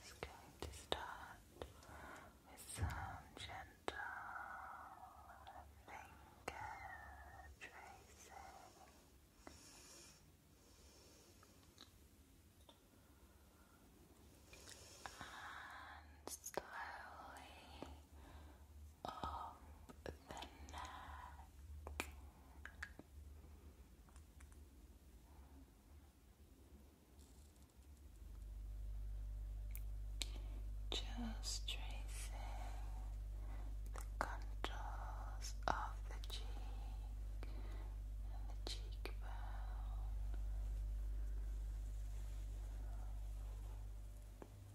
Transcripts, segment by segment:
Just going to start with some gentle finger tracing. And slowly up the neck. Just tracing the contours of the cheek and the cheekbone.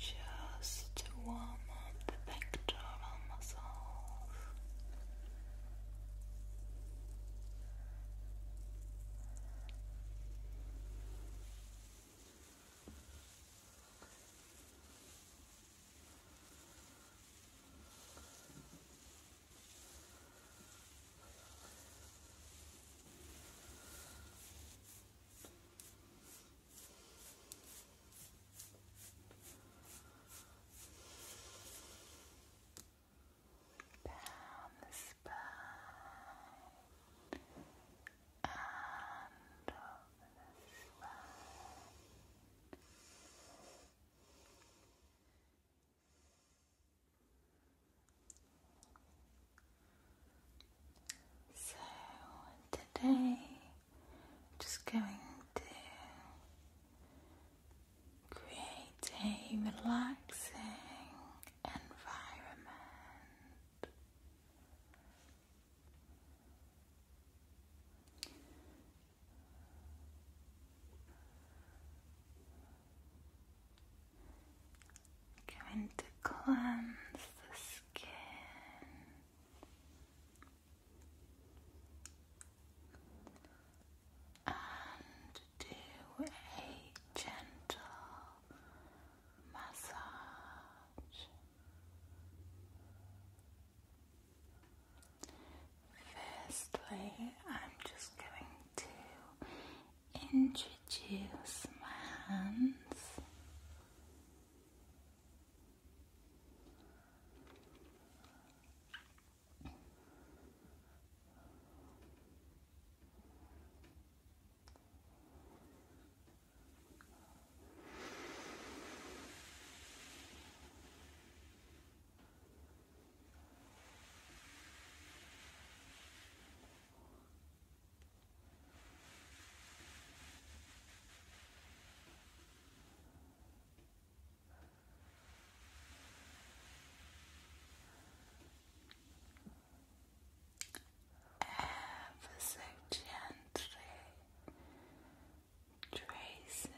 Just to warm up the pectoral muscles. Down the spine and so today, just going to create a relaxing environment. Going to cleanse the skin. And do a gentle massage much. Firstly, I'm just going to introduce my hands. Ever so gently tracing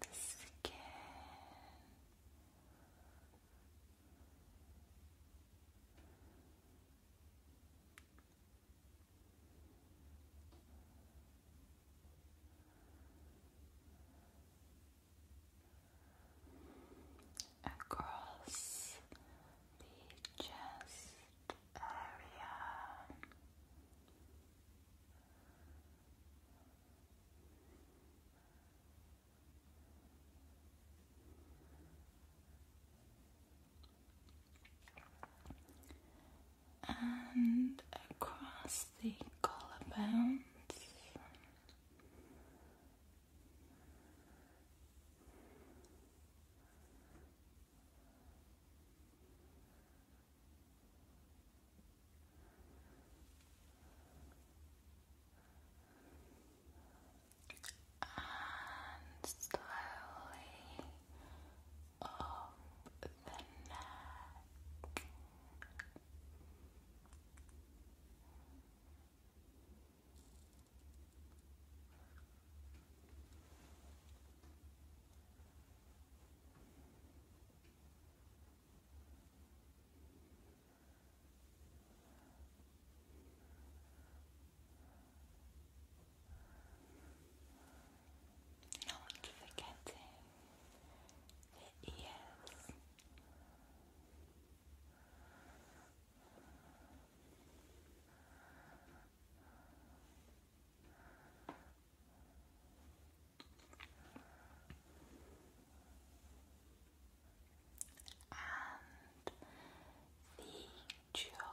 the skin. Across the chest and across the collarbones and slowly up the neck. Not forgetting the ears and the jawline.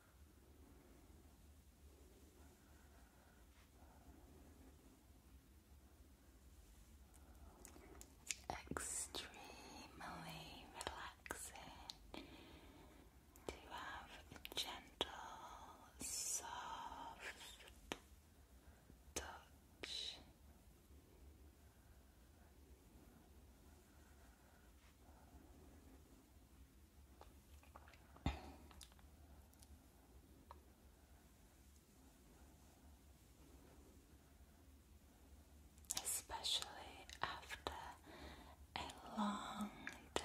Extremely relaxing to have a gentle, soft touch. Especially after a long day.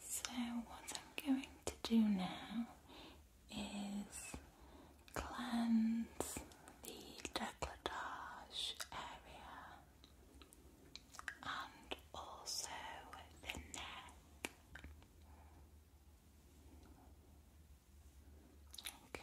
So, what I'm going to do now is cleanse the decolletage area and also the neck. Okay.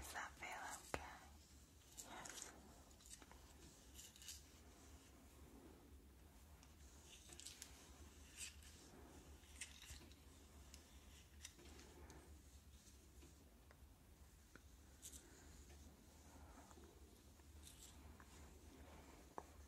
Is that feel okay? Yes.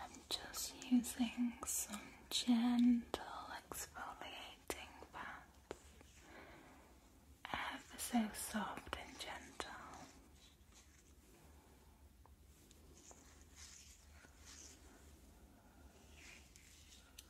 I'm just using some gentle exfoliating pads, ever so soft and gentle.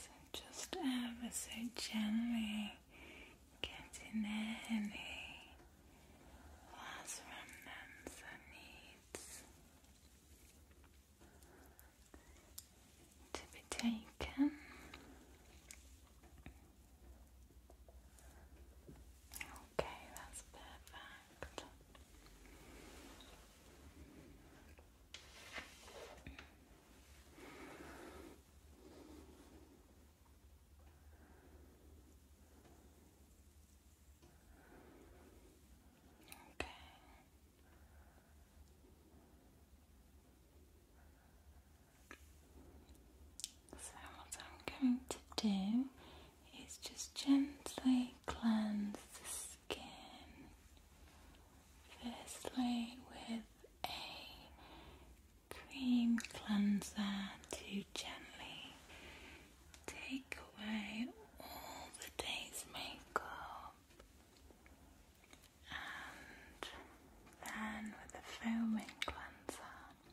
So just ever um, so gently getting any last remnants or needs to be taken. Okay, that's perfect. Okay. So, what I'm going to do is just gently cleanse the skin, firstly with a cream cleanser to gently take away all the day's makeup. And then with the foaming cleanser,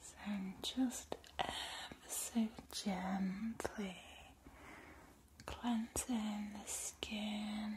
So just ever so gently cleansing the skin.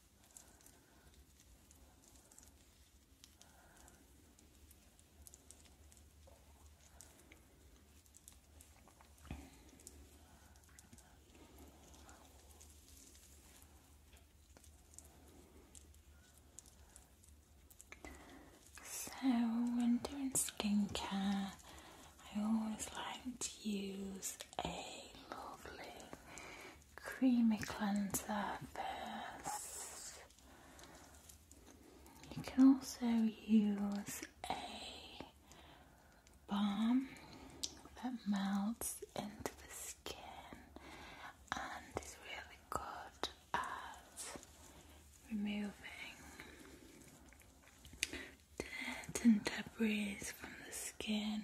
So, when doing skincare, I always like to use a lovely creamy cleanser first. You can also use a balm that melts into the skin and is really good at removing dirt and debris from the skin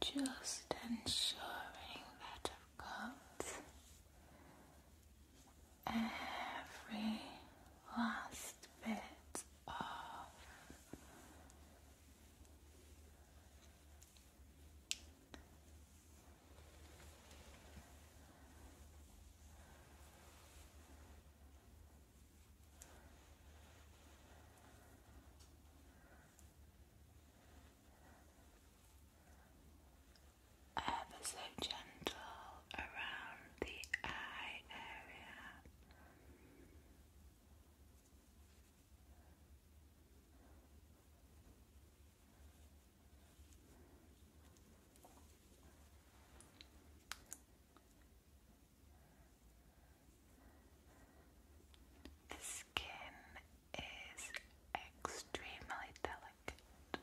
Just ensuring that I've got every last bit of ever so gentle around the eye area. The skin is extremely delicate.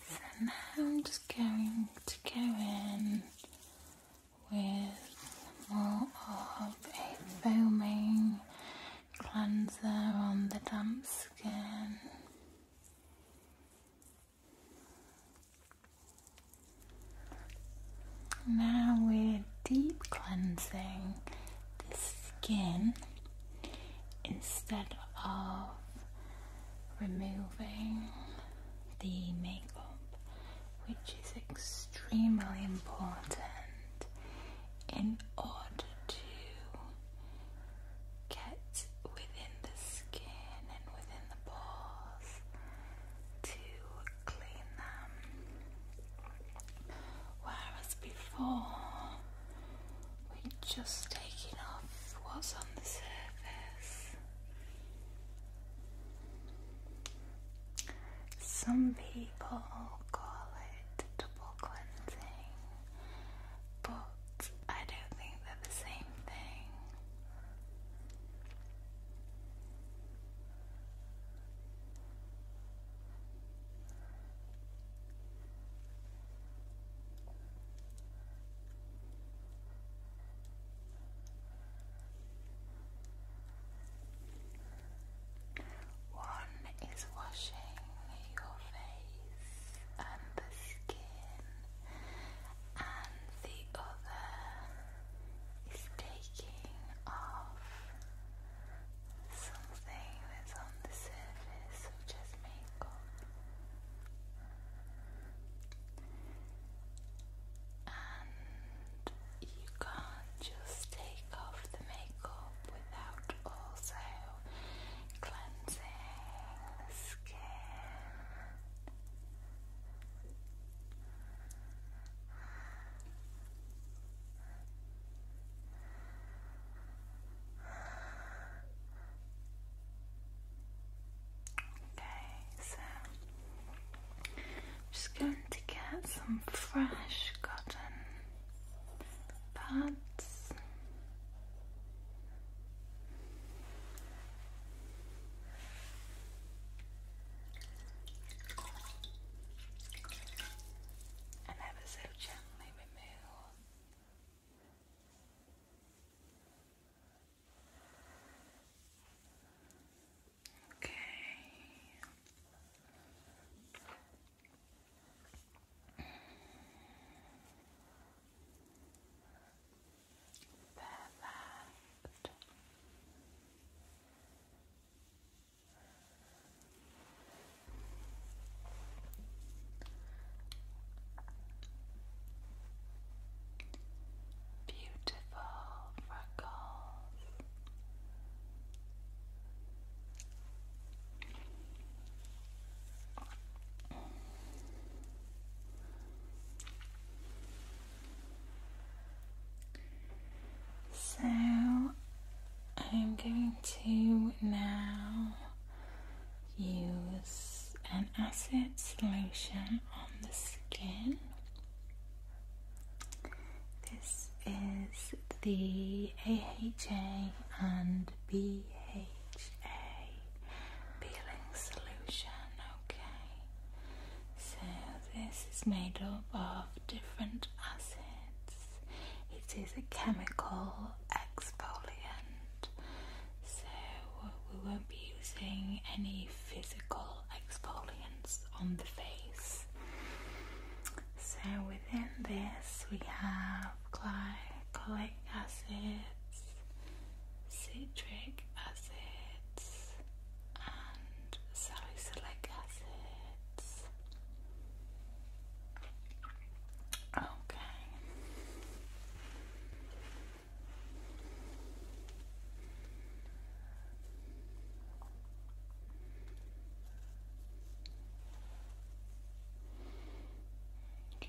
So now I'm just going to go in with more of a foaming cleanser on the damp skin. Now we're deep cleansing the skin instead of removing the makeup, which is extremely important in order to get within the skin and within the pores to clean them. Whereas before, we're just taking off what's on the surface. Some people call it double cleansing, but I don't think they're the same thing. One is washing your face and the skin and the other is taking off something that's on the surface, such as makeup. And you can't just take off the makeup without also cleansing. Okay, so I'm just going to get some fresh cotton pads and have so gently removed. Okay their left beautiful freckles so I'm going to now use an acid solution on the skin. This is the AHA and BHA peeling solution. Okay, so this is made up of different acids. It is a chemical exfoliant, so we won't be using any physical exfoliants on the face. So within this, we have glycolic acids, citric acids, and salicylic acids. Okay. Okay.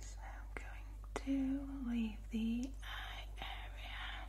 So I'm going to leave the eye area.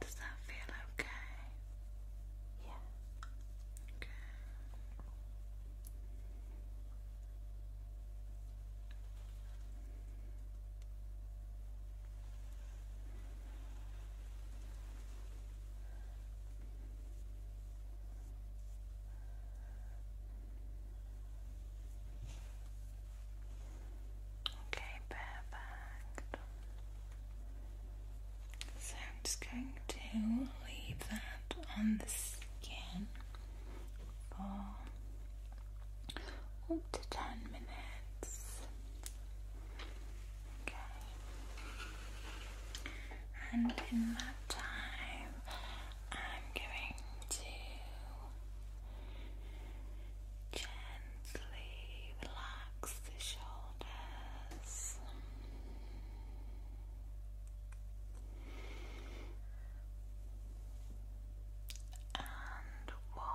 Does that feel okay? Yeah. Okay. Okay. Okay, perfect. So I'm just going to leave that on the skin for up to 10 minutes. Okay, and in that time, I'm going to gently relax the shoulders. And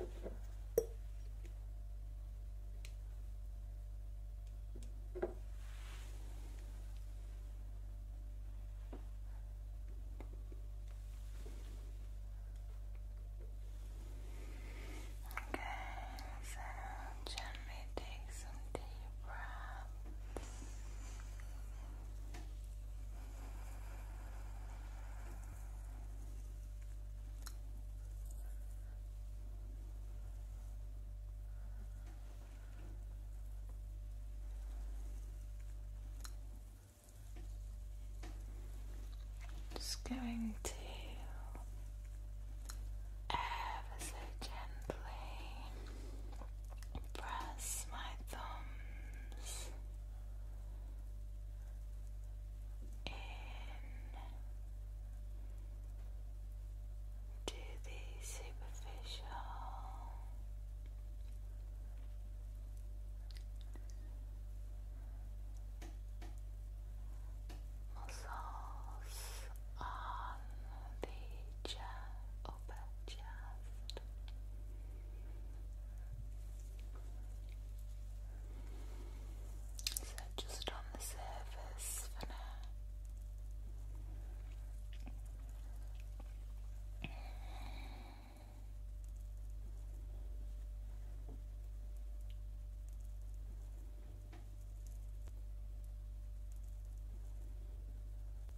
Okay, so gently take some deep breaths. Just going to ever so gently press my thumbs in to the superficial muscles on the chest, so just on the surface for now. And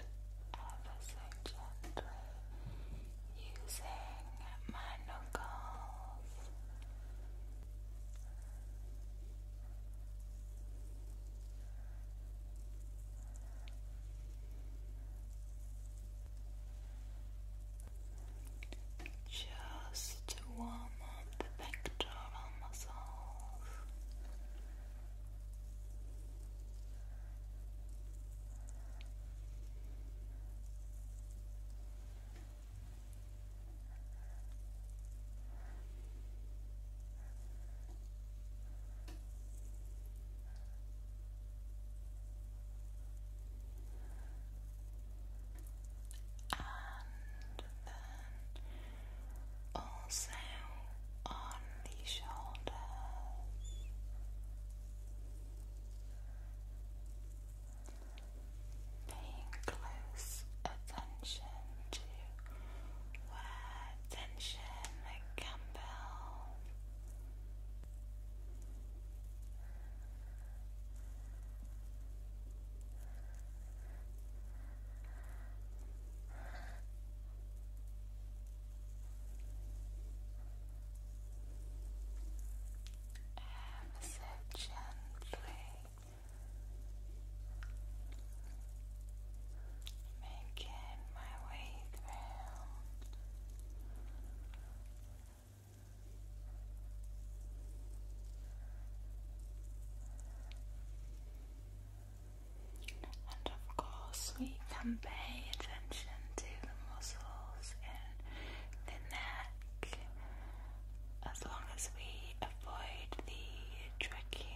ever so gently using my knuckles just to warm up the pectoral muscles and then also on the shoulders. Paying close attention to where tension can build and massage gently, making my way through and of course, we can pay attention to the muscles in the neck as long as we avoid the trachea.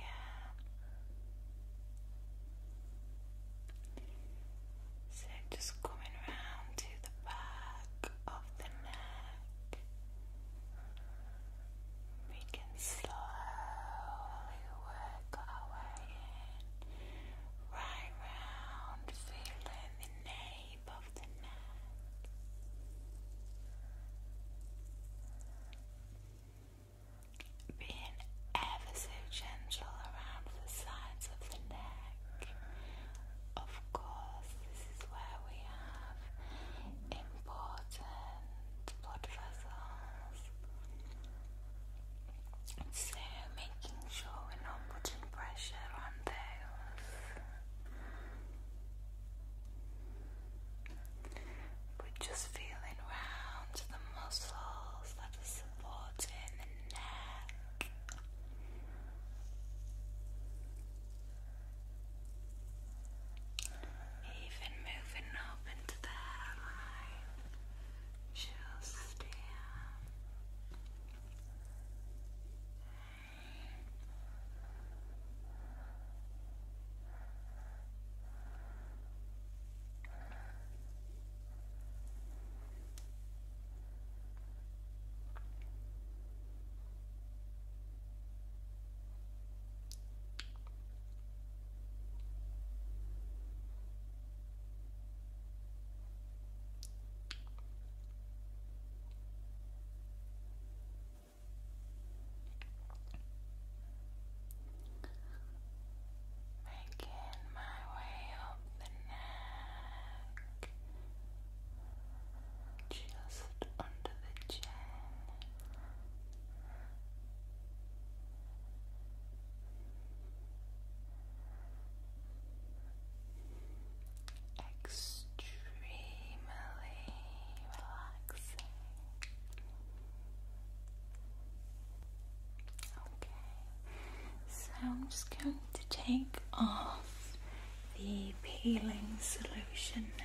So just coming round to the back of the neck, we can slowly work our way in, right round, feeling the nape of the neck. Being ever so gentle around the sides of the neck. Of course, this is where we have important blood vessels. So, making sure we're not putting pressure on those. We're just feeling around the muscles that are supporting neck. Even moving up into the hairline, just here. Making my way up the neck, just under the chin. Extremely relaxing. Okay, so I'm just going to take off the peeling solution now.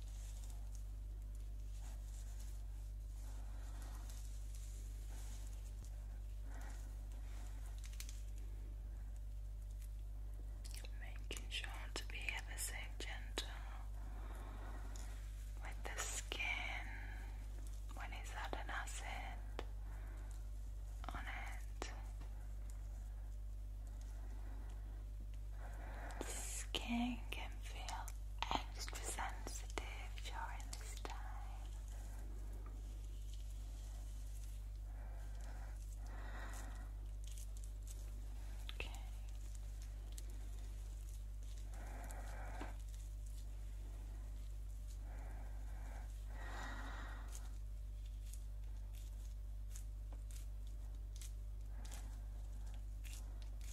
Making sure to be ever so gentle with the skin when it's had acid on it. Skin can feel extra sensitive during this time. Okay.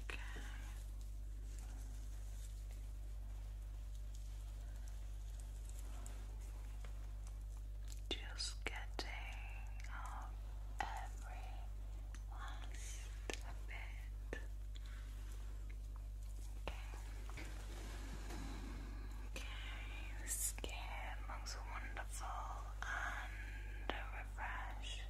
Okay. Just getting every last bit. Okay. Okay, the skin looks wonderful and refreshed.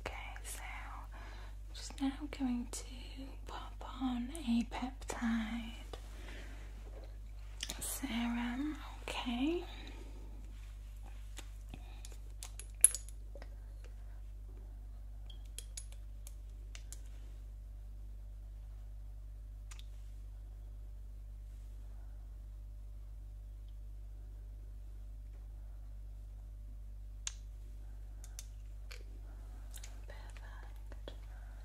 Okay, so I'm just now going to pop on a peptide serum, okay. Perfect.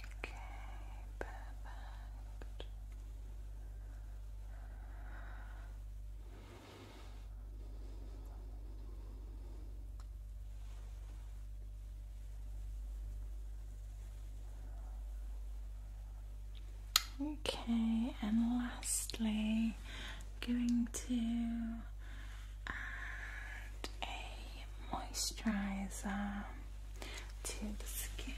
Okay, perfect. Okay, and lastly, going to and a moisturizer to the skin.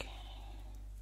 Okay.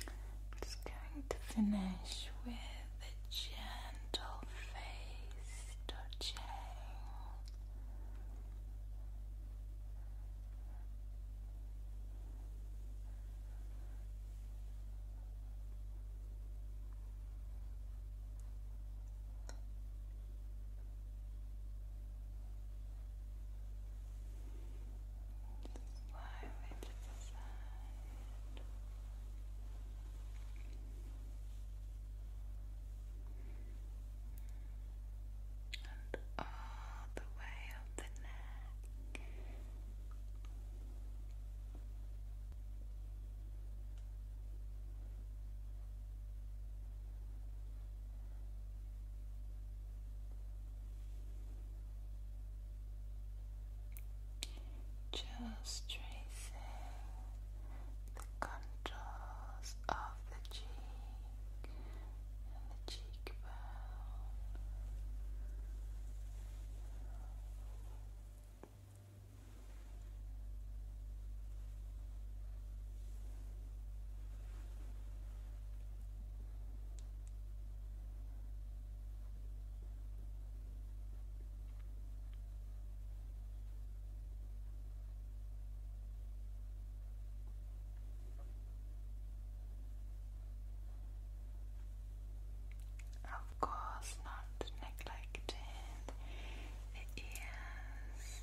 I'm just going to finish with a gentle face touching. Slightly to the side. And all the way up the neck. Just tracing the contours of the cheek and the cheekbone. Of course, not neglecting the ears.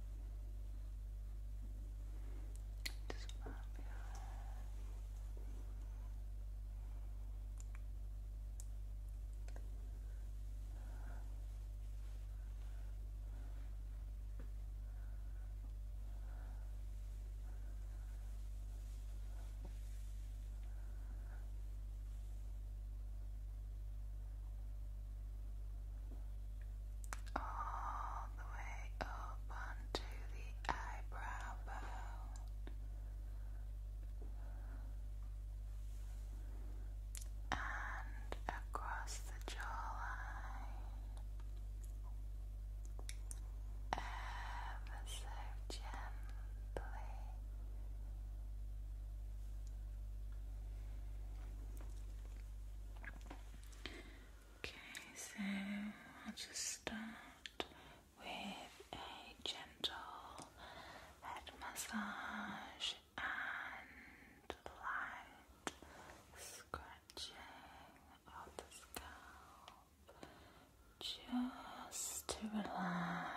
Just Good all the way up onto the eyebrow bone. And across the jawline, ever so gently. Okay, so I'll just start with a gentle head massage and light scratching of the scalp just to relax.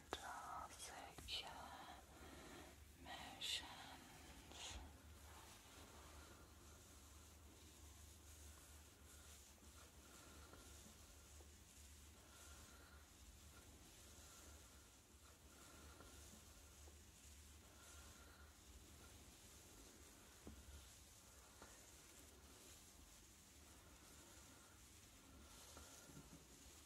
gentle, circular motions.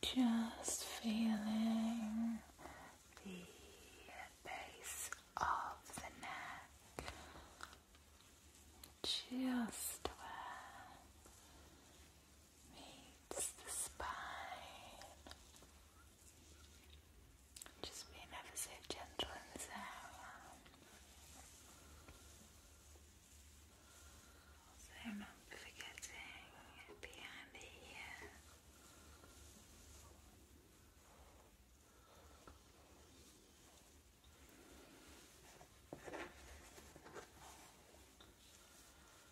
Just feeling the base of the neck, just where meets the spine. Just being ever so gentle in this area. So not forgetting behind the ear.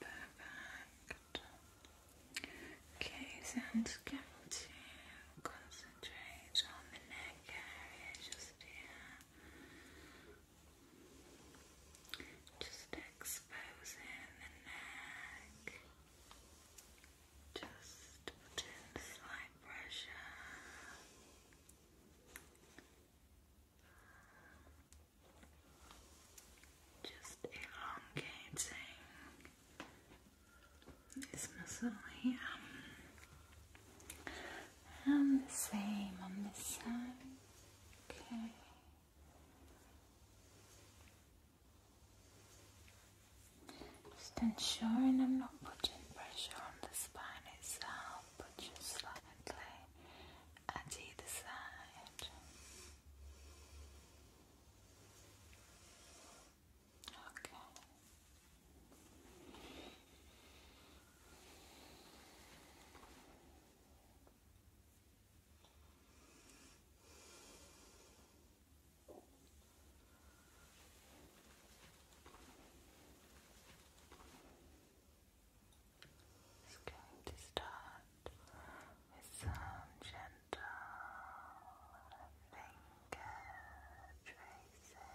Perfect. Okay, so I'm just going to concentrate on the neck area just here. Just exposing the neck. Just put slight pressure. Just elongating this muscle here, and um, the same on this side. Okay. Just ensuring I'm not putting pressure on the spine itself, but just slightly and either side. Okay. Just going to start with some gentle finger tracing.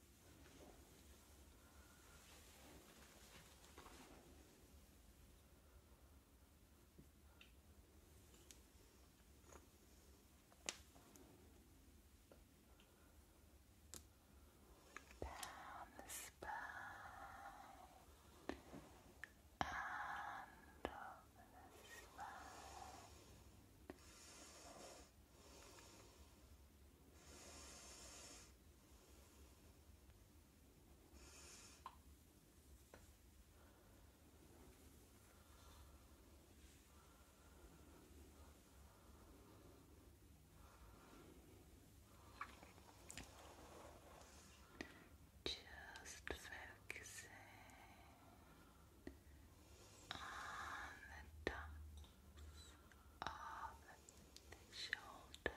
down the spine and over the spine. Just focusing on the top of the shoulders.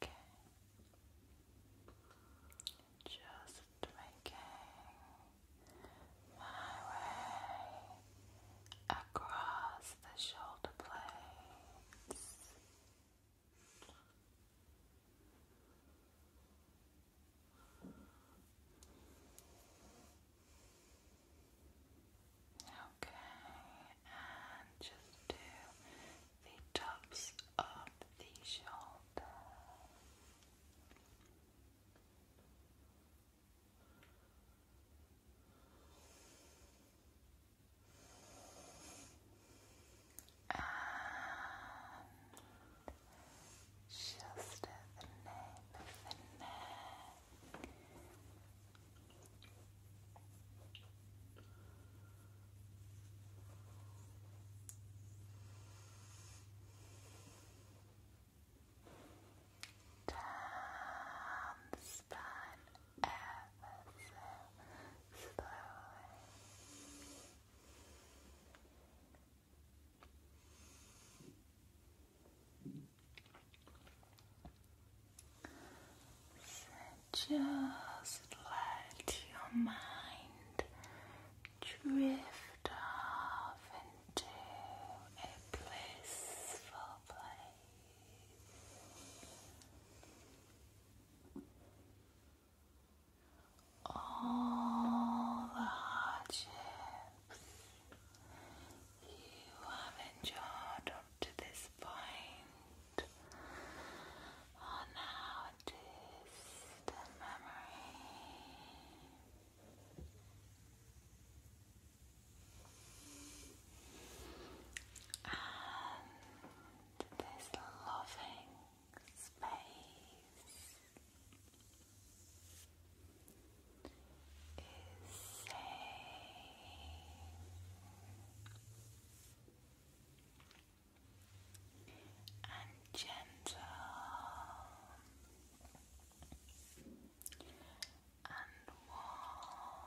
Okay. Just making my way across the shoulder blades. Okay, and just do the tops of the shoulder. And just the nape of the neck. Down the ever so slowly. So just let your mind drift off into a blissful place. All the hardships you have enjoyed up to this point. Oh, now the memory. And this loving space is safe and gentle and warm.